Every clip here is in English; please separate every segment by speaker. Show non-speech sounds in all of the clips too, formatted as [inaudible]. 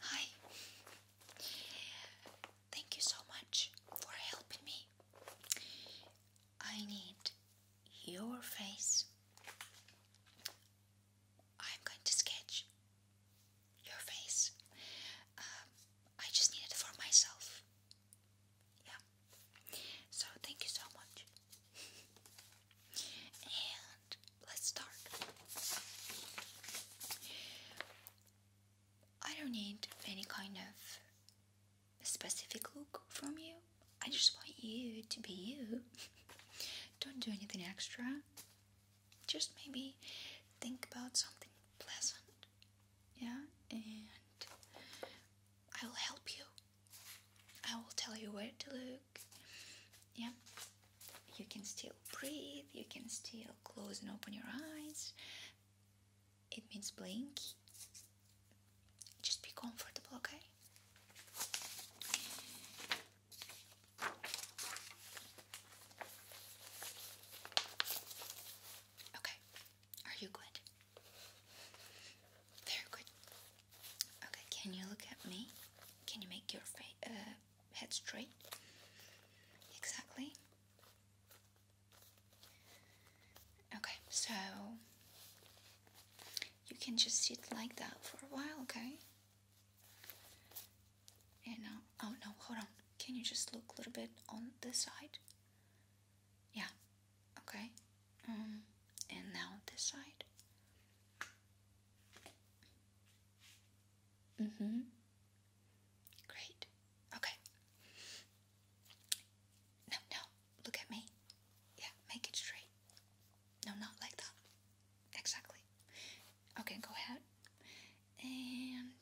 Speaker 1: Hi. Thank you so much for helping me. I need your face. I'm going to sketch your face. Um, I just need it for myself. Yeah. So thank you so much. and let's start. I don't need any kind of specific look from you. I just want you to be you. [laughs] don't do anything extra just maybe think about something pleasant, yeah, and I will help you. I will tell you where to look, yeah. You can still breathe, you can still close and open your eyes. It means blink. Just be comfortable, okay? Okay, are you good? Very good. Okay, can you look at me? Can you make your fa uh, head straight? Exactly. Okay, so you can just sit like that for a while, okay? And uh, oh no, hold on. Can you just look a little bit on this side? Yeah. Okay. Um, and now this side. Mm-hmm. Great. Okay. No, no. Look at me. Yeah, make it straight. No, not like that. Exactly. Okay, go ahead and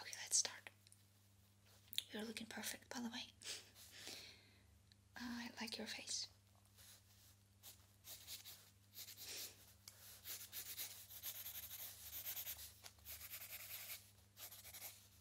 Speaker 1: okay, let's start. You're looking perfect, by the way. I like your face.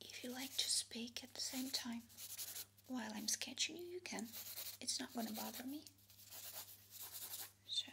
Speaker 1: If you like to speak at the same time while I'm sketching you, you can. It's not gonna bother me. So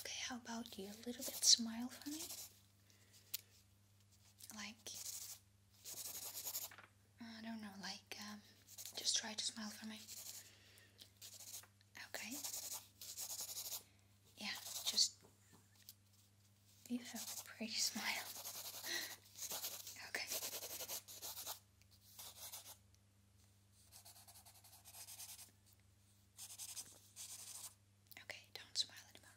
Speaker 1: Okay, how about you? A little bit smile for me. Like, I don't know, like, um, just try to smile for me. Okay. Yeah, just. You have a pretty [laughs] smile. okay. Okay, don't smile anymore.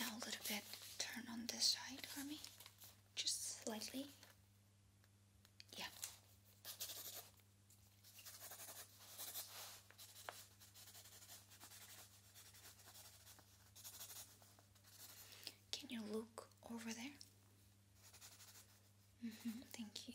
Speaker 1: Now a little bit turn on this side for me, just slightly. Yeah. Can you look over there? Mm -hmm, thank you.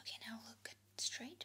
Speaker 1: Okay, now look straight.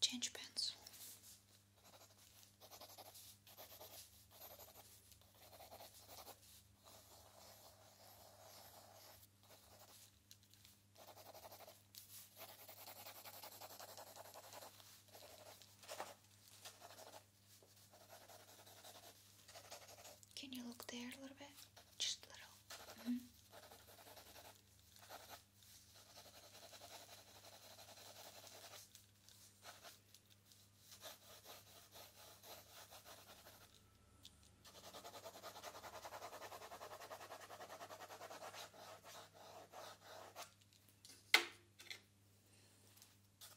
Speaker 1: change pens. Can you look there a little bit? Just a little. -hmm.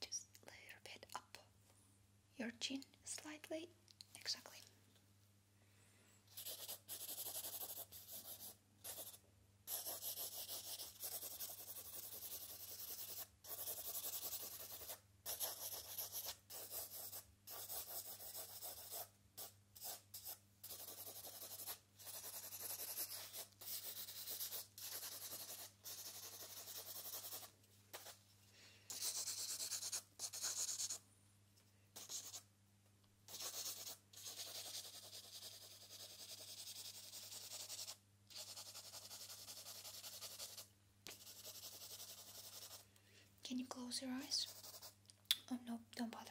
Speaker 1: Just a little bit up your chin slightly, exactly. Can you close your eyes? Oh no, don't bother.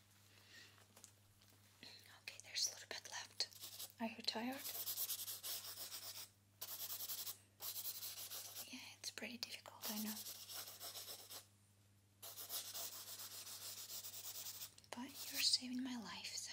Speaker 1: Okay, there's a little bit left. Are you tired? Yeah, it's pretty difficult, I know. But you're saving my life, so.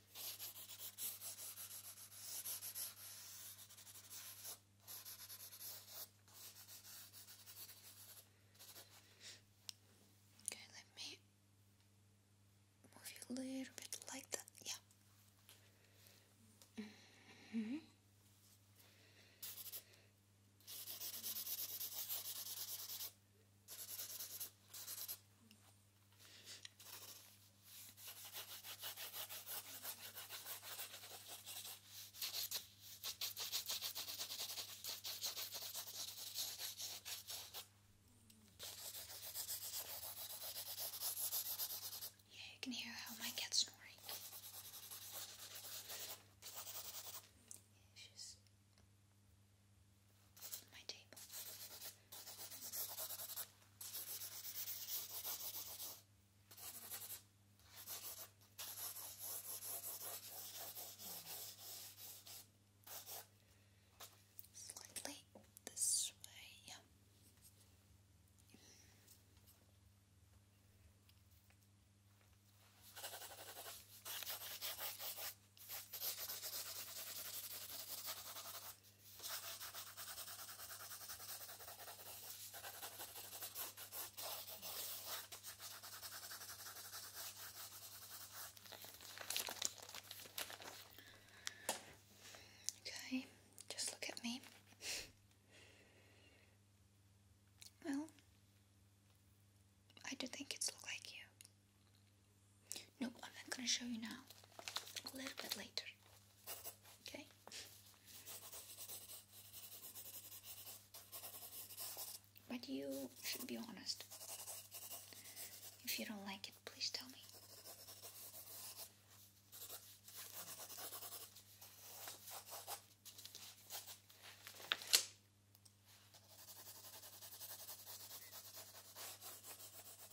Speaker 1: Okay, let me move you a little bit like that. Yeah. -hmm. Yeah, you can hear how my cat's snoring my table. Slightly this way, yeah. Okay, just look at me. Well, I do think it's look like you. Nope, I'm not gonna show you now. A little bit later. Okay? But you should be honest. If you don't like it, please tell me.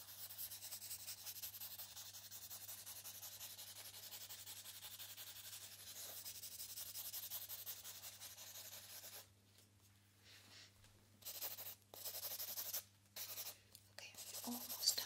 Speaker 1: Okay, we're almost done.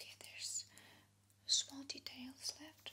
Speaker 1: Okay, there's small details left.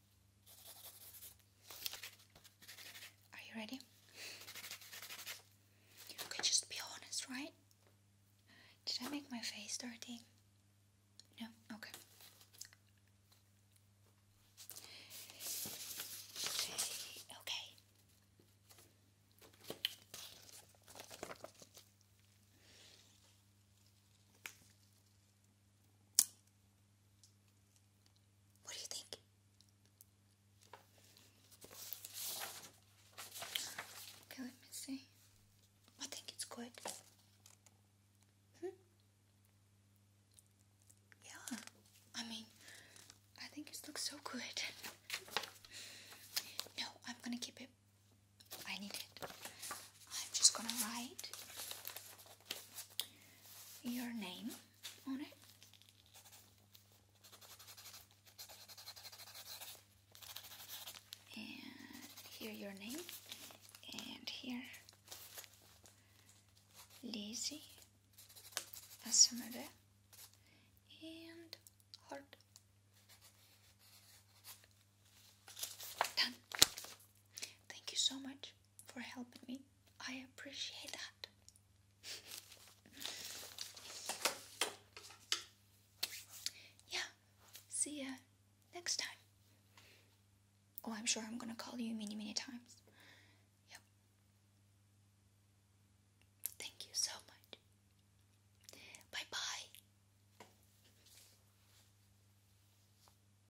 Speaker 1: Are you ready? You just be honest, right? Did I make my face dirty? No? Okay, okay. What do you think? Okay, let me see. I think it's good. Hmm? Yeah, I mean, I think it looks so good. No, I'm gonna keep it. I need it. I'm just gonna write your name on it. And here your name. And here Lizzie Asamade and hard Done. Thank you so much for helping me. I appreciate that. yeah, see you next time. Oh, I'm sure I'm gonna call you many, many times. Yep. Thank you so much. Bye bye.